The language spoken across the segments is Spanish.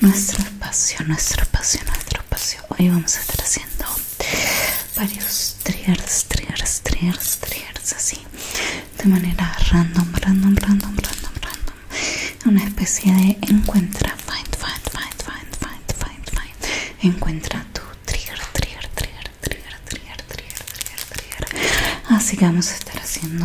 nuestro espacio, nuestro espacio, nuestro espacio. Hoy vamos a estar haciendo varios triggers, triggers, triggers, triggers, así de manera random, random, random, random, random. Una especie de encuentra, find, find, find, find, find, find, find. Encuentra tu trigger, trigger, trigger, trigger, trigger, trigger, trigger, trigger. Así que vamos a estar haciendo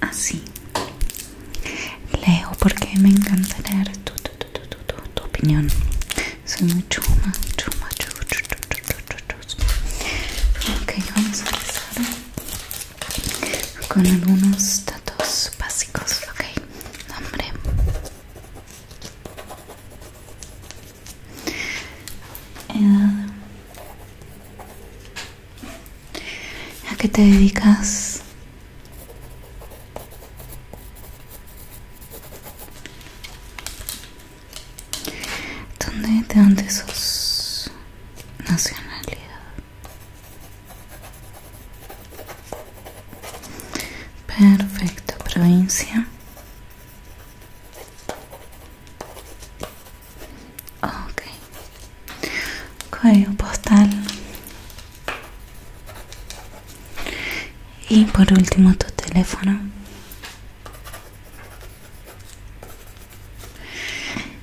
así leo porque me encanta leer tu, tu, tu, tu, tu, opinión soy muy chuma chuma chuma ok vamos a empezar con algunos datos básicos ok nombre edad ¿A qué te dedicas? ¿Dónde, ¿De dónde sos nacionalidad? Perfecto, provincia. Ah, ok. Código postal. Y por último tu teléfono.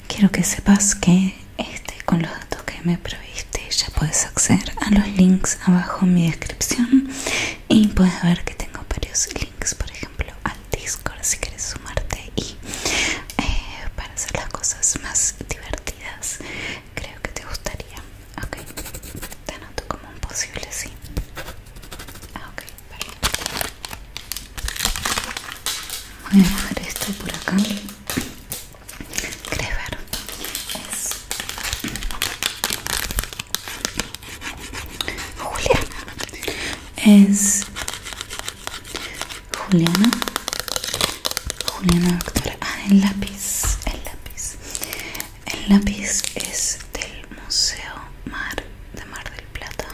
Quiero que sepas que este con los datos que me proviste ya puedes acceder a los links abajo en mi descripción y puedes ver que tengo varios links, por ejemplo al Discord si quieres sumarte y eh, para hacer las cosas más divertidas creo que te gustaría ok te anoto como un posible sí ah, ok perfecto voy a dejar esto por acá crees ver es Julia es Juliana Juliana doctora Ah, el lápiz El lápiz El lápiz es del Museo Mar de Mar del Plata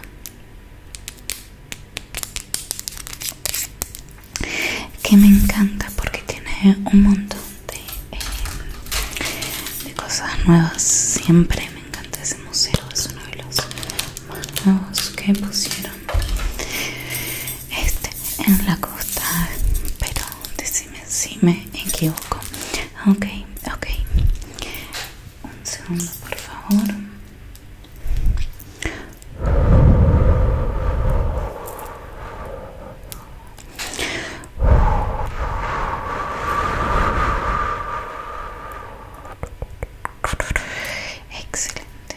que me encanta porque tiene un montón de, eh, de cosas nuevas siempre me encanta ese museo es uno de los más nuevos que pusieron este en la costa pero decime si me equivoco Okay, okay. un segundo por favor excelente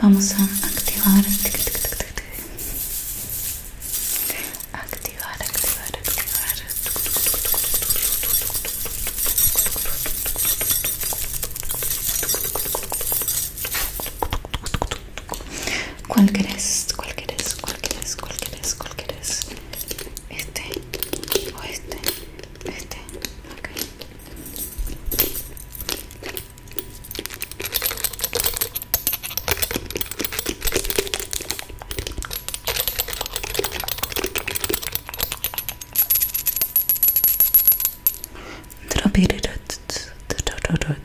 Vamos a activar, activar, activar, activar. Cualquier es, ¿Cuál es, ¿Cuál es, ¿Cuál es, ¿Cuál es Este o este, este, ok.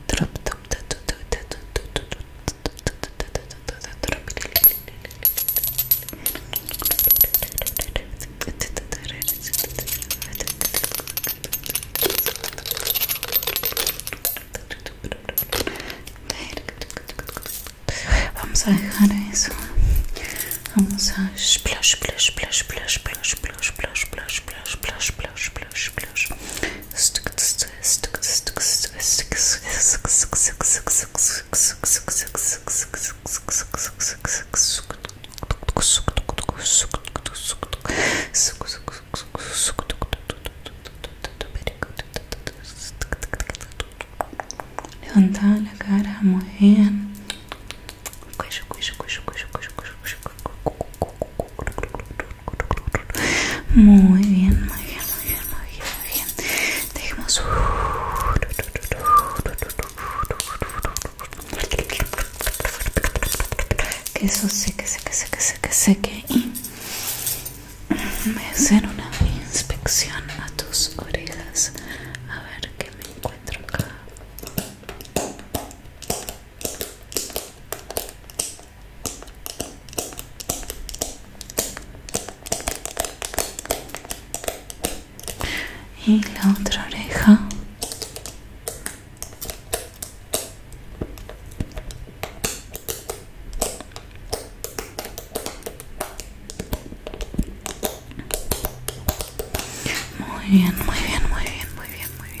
Drop Vamos a dejar eso. Vamos a splash, splash, splash, splash, splash, plush plush splash, splash, splash, splash, splash, Levantar la cara muy bien. Muy bien, muy bien, muy bien, muy bien. bien dejemos que eso seque seque seque seque seque y me hacen una inspección a tus orejas a ver qué me encuentro acá y la otra oreja muy bien, muy bien, muy bien, muy bien, muy bien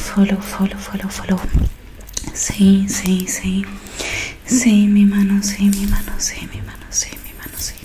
follow, follow, follow, follow. Sí, sí, sí. Sí, mi mano, sí, mi mano, sí, mi mano, sí, mi mano, sí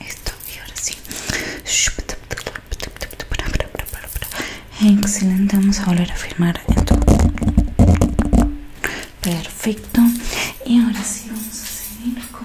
esto y ahora sí excelente vamos a volver a firmar. esto perfecto y ahora sí vamos a seguir con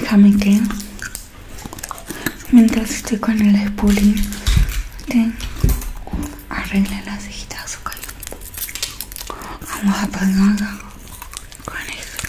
Déjame que mientras estoy con el spooling arregle las cejitas, calor. Vamos a pegarla con esto.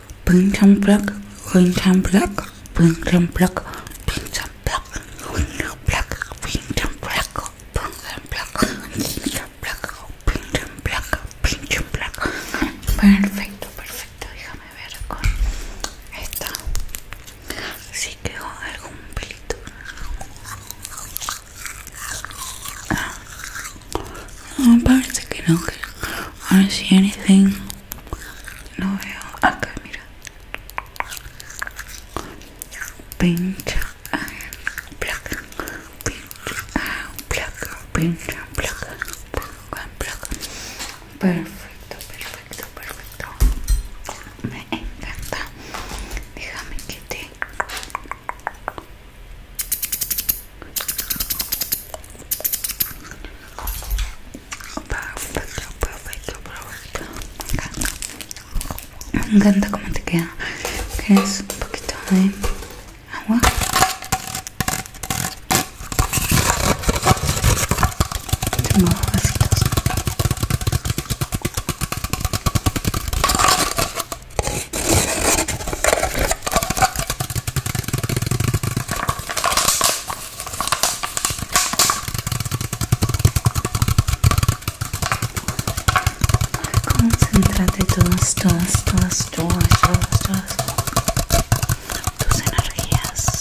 pincham black, pincham black, pincham black, pincham black, pincham black, pincham black, pincham black, pincham black, and black, and black. Perfecto, perfecto. Déjame ver con esta. Si sí quedó algún pelito. No, ah, parece que no. I don't see anything. No veo acá, mira. Pincha, placa, pincha, placa, pincha, placa, placa, Perfecto, perfecto, perfecto. Me encanta. Déjame que te... Perfecto, perfecto, Me encanta. Me cómo te queda. un poquito de agua? Concéntrate todas, todas, todas, todas, todas, todas tus energías.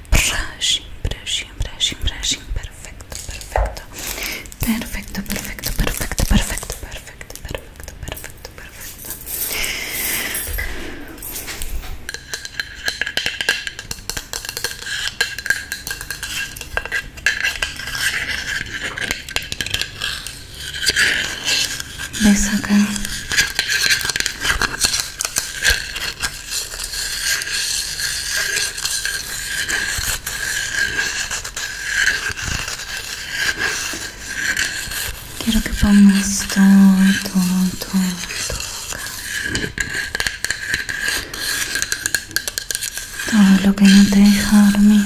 brushing, brushing, brushing, brushing. Perfecto, perfecto. Perfecto, perfecto, perfecto, perfecto, perfecto, perfecto, perfecto, perfecto. ¿Ves acá? Quiero que pongas todo, todo, todo, Todo lo que no te deja dormir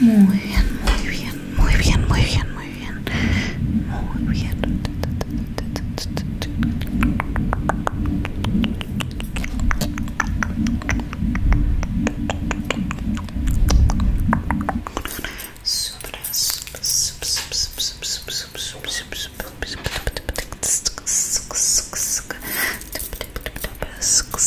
muy bien, muy bien, muy bien, muy bien, muy bien. Muy bien.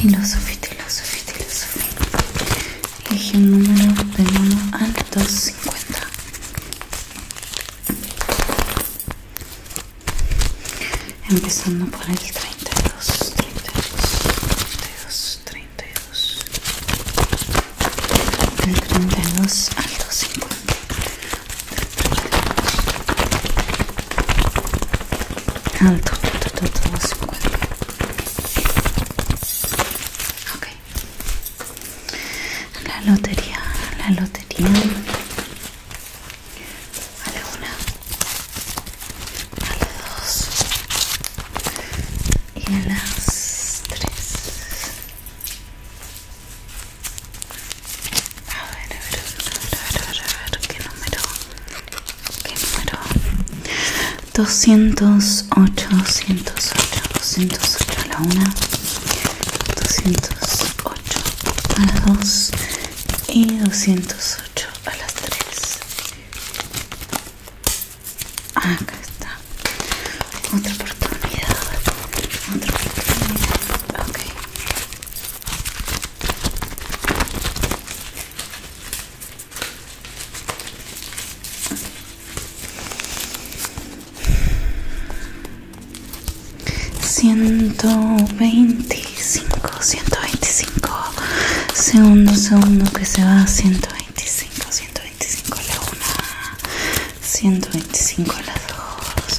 Filosofía, filosofía, filosofía. Elige un número del 1 al 250. Empezando por el 32, 32, 32, 32. Del 32 al 250 alto, alto, alto, La lotería, la lotería. A la una, a la dos y las tres. A ver, a ver, a ver, a ver, a ver, a ver qué número, qué número, 208, 208, 208 a la 1 208 a las 2 y 208 a las tres. Acá está. Otra oportunidad. Otra oportunidad. Ok. Ciento veinticinco, ciento veinticinco, segundo, segundo que se va, ciento veinticinco, ciento veinticinco la una, ciento veinticinco las dos,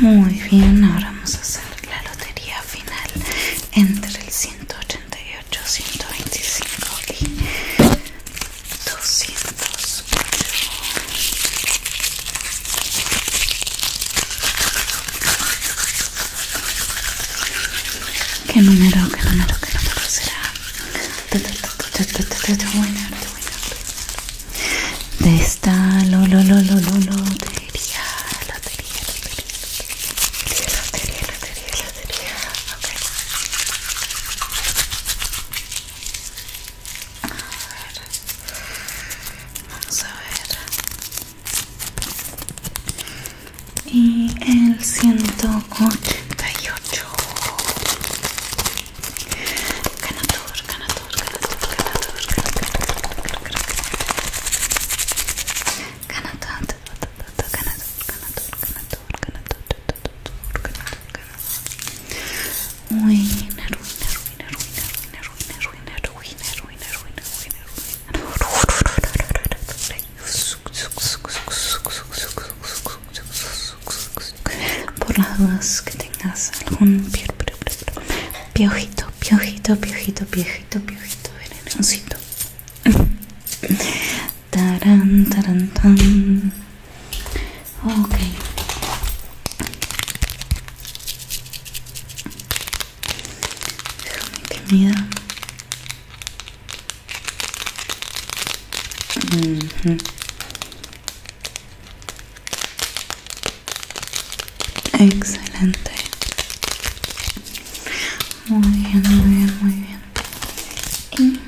Muy bien, ahora vamos a hacer la lotería final entre el 188, 125 y 208. ¿Qué número, qué número, qué número será? de esta lo, lo, lo, lo, lo, lotería, lotería, lotería, lotería, lotería, lotería, okay. A ver, vamos a ver. Y el 188. Canatur, Canatur por las dudas que tengas algún peer Piojito, piojito, piojito, piojito, piojito, venenosito, Tarán, tarán, tan. okay que Excelente. Muy bien, muy bien, muy bien. Y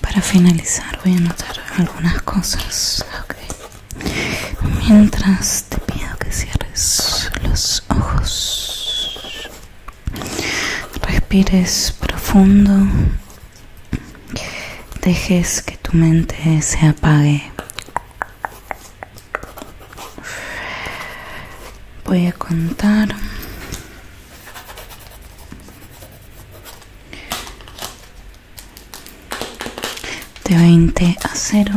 para finalizar voy a anotar algunas cosas. Ok Mientras te pido que cierres los ojos, respires profundo dejes que tu mente se apague. Voy a contar de 20 a 0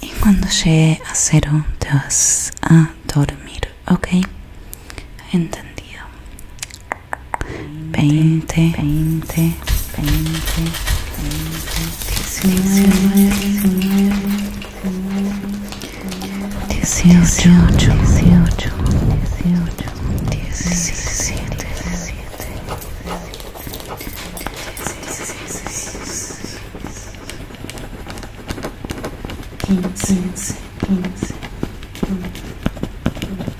y cuando llegue a 0 te vas a dormir, ¿ok? Entendido veinte, veinte, veinte, diecinueve, dieciocho, dieciocho, dieciocho, diecisiete, diecisiete,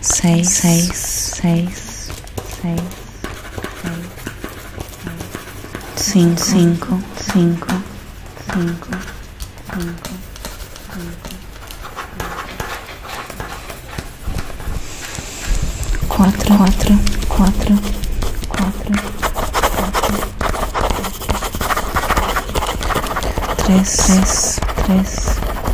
seis, seis, seis, seis, cinco, cinco, cinco, cinco, cinco. Quatro, quatro, quatro, quatro, três, três, três.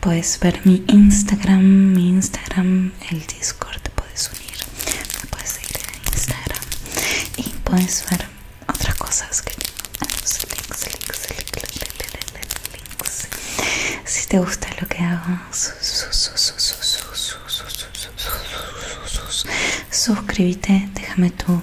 Puedes ver mi Instagram, mi Instagram, el Discord, puedes unir, me puedes seguir en Instagram y puedes ver otras cosas que links, Si te gusta lo que hago, suscríbete, déjame tu